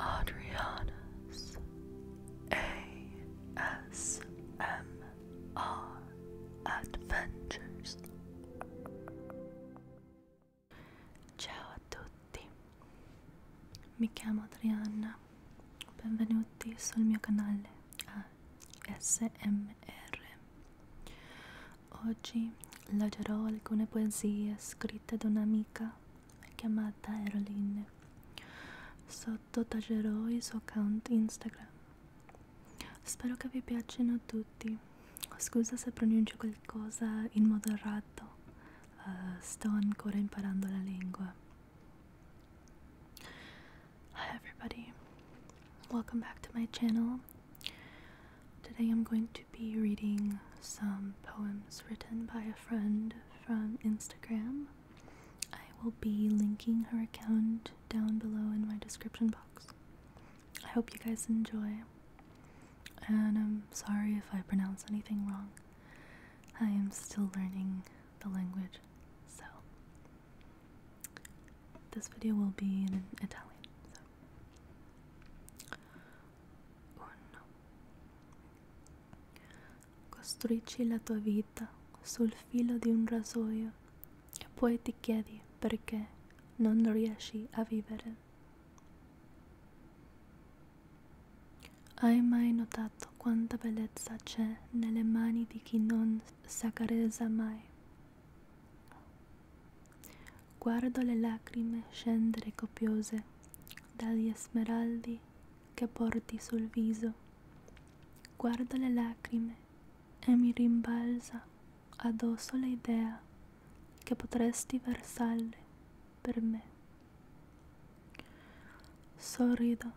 Adriana's ASMR Adventures. Ciao a tutti, mi chiamo Adriana, benvenuti sul mio canale ASMR. Oggi leggerò alcune poesie scritte da un'amica chiamata Eroline. Sottotacerò il suo account Instagram. Spero che vi piacciono tutti. Scusa se pronuncio qualcosa in modo errato. Uh, sto ancora imparando la lingua. Hi everybody. Welcome back to my channel. Today I'm going to be reading some poems written by a friend from Instagram. I will be linking her account down below in my description box. I hope you guys enjoy, and I'm sorry if I pronounce anything wrong. I am still learning the language, so this video will be in Italian. 1 costruisci la tua vita sul filo di un rasoio e poi ti chiedi perché non riesci a vivere hai mai notato quanta bellezza c'è nelle mani di chi non s'accarezza mai Guardo le lacrime scendere copiose dagli smeraldi che porti sul viso. Guardo le lacrime e mi rimbalza addosso l'idea che potresti versarle per me. Sorrido,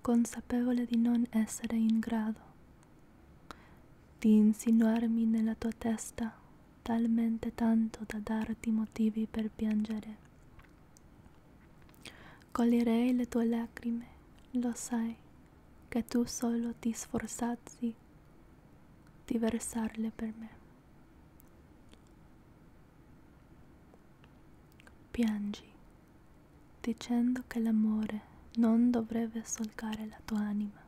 consapevole di non essere in grado di insinuarmi nella tua testa talmente tanto da darti motivi per piangere. Coglierei le tue lacrime, lo sai, che tu solo ti sforzazzi di versarle per me. Piangi, dicendo che l'amore non dovrebbe solcare la tua anima,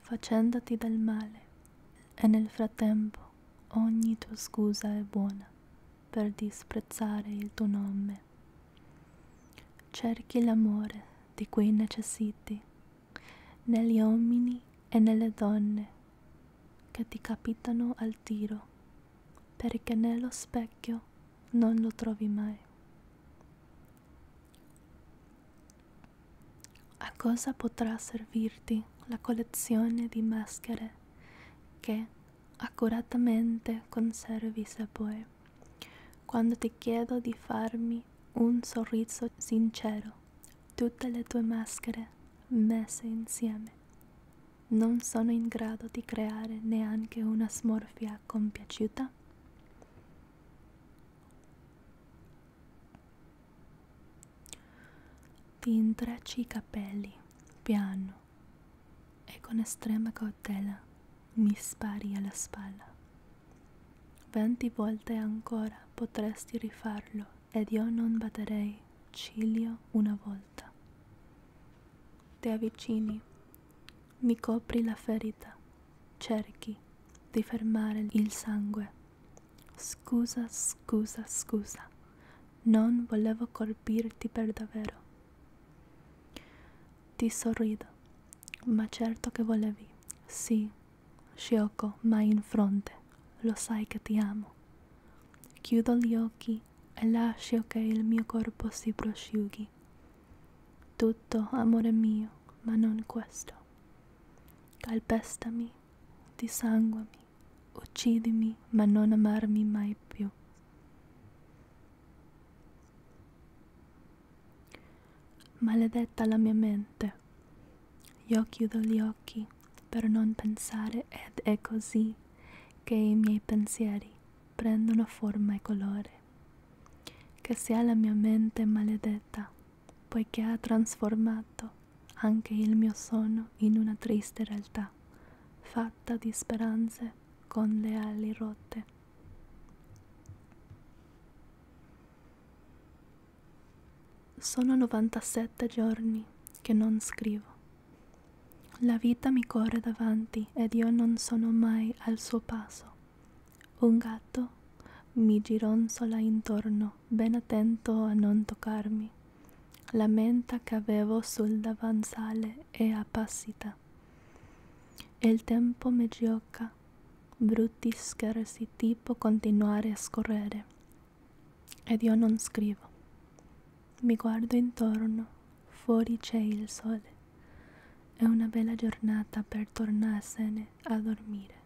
facendoti del male, e nel frattempo ogni tua scusa è buona per disprezzare il tuo nome. Cerchi l'amore di cui necessiti, negli uomini e nelle donne che ti capitano al tiro, perché nello specchio non lo trovi mai. A cosa potrà servirti la collezione di maschere che accuratamente conservi se puoi, quando ti chiedo di farmi un sorriso sincero, tutte le tue maschere messe insieme non sono in grado di creare neanche una smorfia compiaciuta? Ti intrecci i capelli, piano, e con estrema cautela mi spari alla spalla. Venti volte ancora potresti rifarlo ed io non batterei ciglio una volta. Ti avvicini, mi copri la ferita, cerchi di fermare il sangue. Scusa, scusa, scusa, non volevo colpirti per davvero. Ti sorrido, ma certo che volevi. Sì, Shioko, ma in fronte, lo sai che ti amo. Chiudo gli occhi e lascio che il mio corpo si prosciughi. Tutto, amore mio, ma non questo. Calpestami, disanguami, uccidimi, ma non amarmi mai più. Maledetta la mia mente. Io chiudo gli occhi per non pensare ed è così che i miei pensieri prendono forma e colore, che sia la mia mente maledetta, poiché ha trasformato anche il mio sonno in una triste realtà, fatta di speranze con le ali rotte. Sono 97 giorni che non scrivo la vita mi corre davanti ed io non sono mai al suo passo. Un gatto mi gironzola intorno, ben attento a non toccarmi. La menta che avevo sul davanzale è appassita. E il tempo mi gioca, brutti scherzi tipo continuare a scorrere ed io non scrivo. Mi guardo intorno, fuori c'è il sole. È una bella giornata per tornarsene a dormire.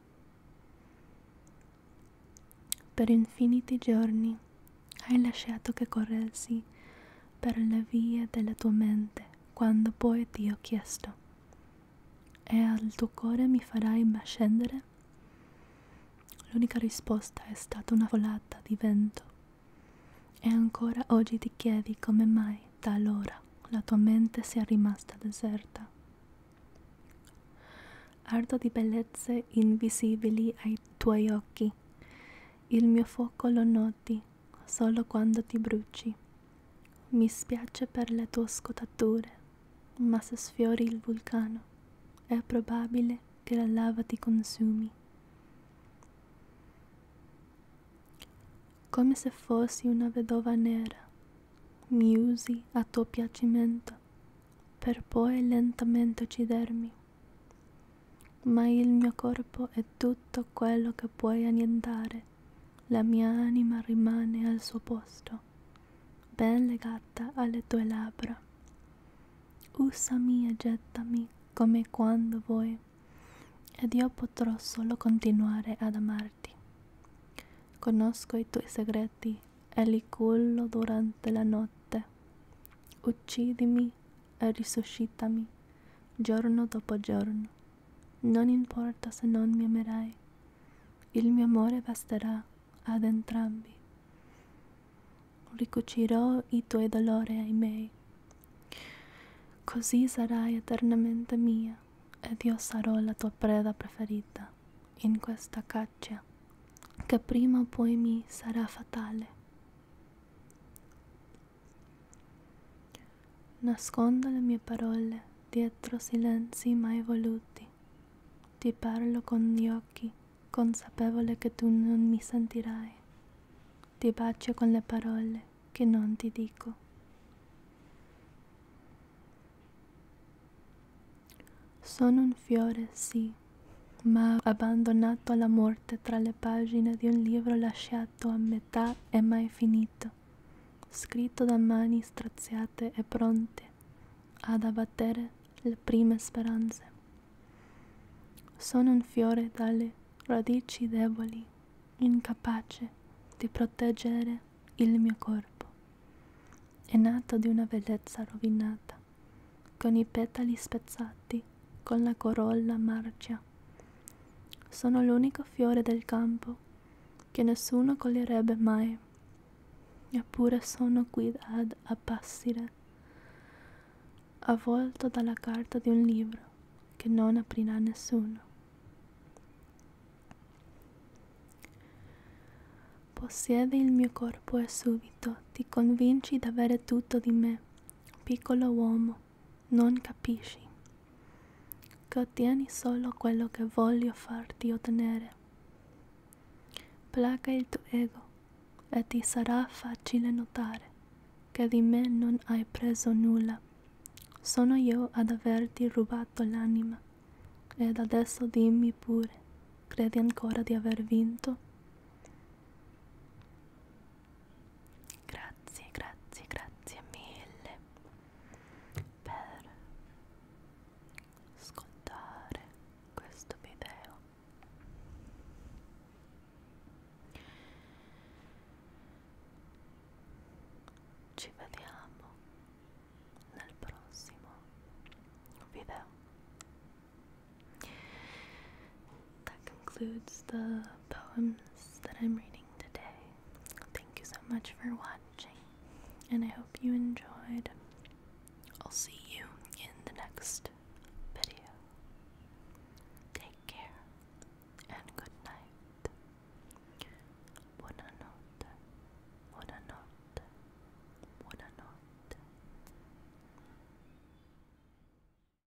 Per infiniti giorni hai lasciato che corressi per le vie della tua mente quando poi ti ho chiesto. E al tuo cuore mi farai scendere? L'unica risposta è stata una volata di vento. E ancora oggi ti chiedi come mai da allora la tua mente sia rimasta deserta. Ardo di bellezze invisibili ai tuoi occhi. Il mio fuoco lo noti solo quando ti bruci. Mi spiace per le tue scottature ma se sfiori il vulcano è probabile che la lava ti consumi. Come se fossi una vedova nera, mi usi a tuo piacimento, per poi lentamente uccidermi. Ma il mio corpo è tutto quello che puoi annientare, la mia anima rimane al suo posto braccia, ben legata alle tue labbra. Usami e gettami come quando vuoi, ed io potrò solo continuare ad amarti. Conosco i tuoi segreti e li cullo durante la notte. Uccidimi e risuscitami giorno dopo giorno. Non importa se non mi amerai, il mio amore basterà ad entrambi. Ricucirò i tuoi dolori ai miei. Così sarai eternamente mia ed io sarò la tua preda preferita in questa caccia che prima o poi mi sarà fatale. Nascondo le mie parole dietro silenzi mai voluti. Ti parlo con gli occhi, consapevole che tu non mi sentirai. Ti bacio con le parole che non ti dico. Sono un fiore, sì, ma abbandonato alla morte tra le pagine di un libro lasciato a metà e mai finito scritto, scritto da mani straziate e pronte ad abbattere le prime speranze. Sono un fiore dalle radici deboli, incapace di proteggere il mio corpo. È nato di una bellezza rovinata, con i petali spezzati, con la corolla marcia sono l'unico fiore del campo che nessuno coglierebbe mai, eppure sono qui ad appassire, avvolto dalla carta di un libro che non aprirà nessuno. Possiede il mio corpo e subito ti convinci d'avere tutto di me, piccolo uomo, tu non capisci che ottieni solo quello che voglio farti ottenere. Placa il tuo ego e ti sarà facile notare che di me non hai preso nulla. Sono io ad averti rubato l'anima ed adesso dimmi pure, credi ancora di aver vinto? Grazie, grazie, grazie mille per ascoltare questo video. Ci vediamo nel prossimo video. that concludes the poems that I'm reading today. Thank you so much for watching, and I hope you enjoyed. I'll see you in the next video. Take care and good night. Buonanotte, buonanotte, buonanotte.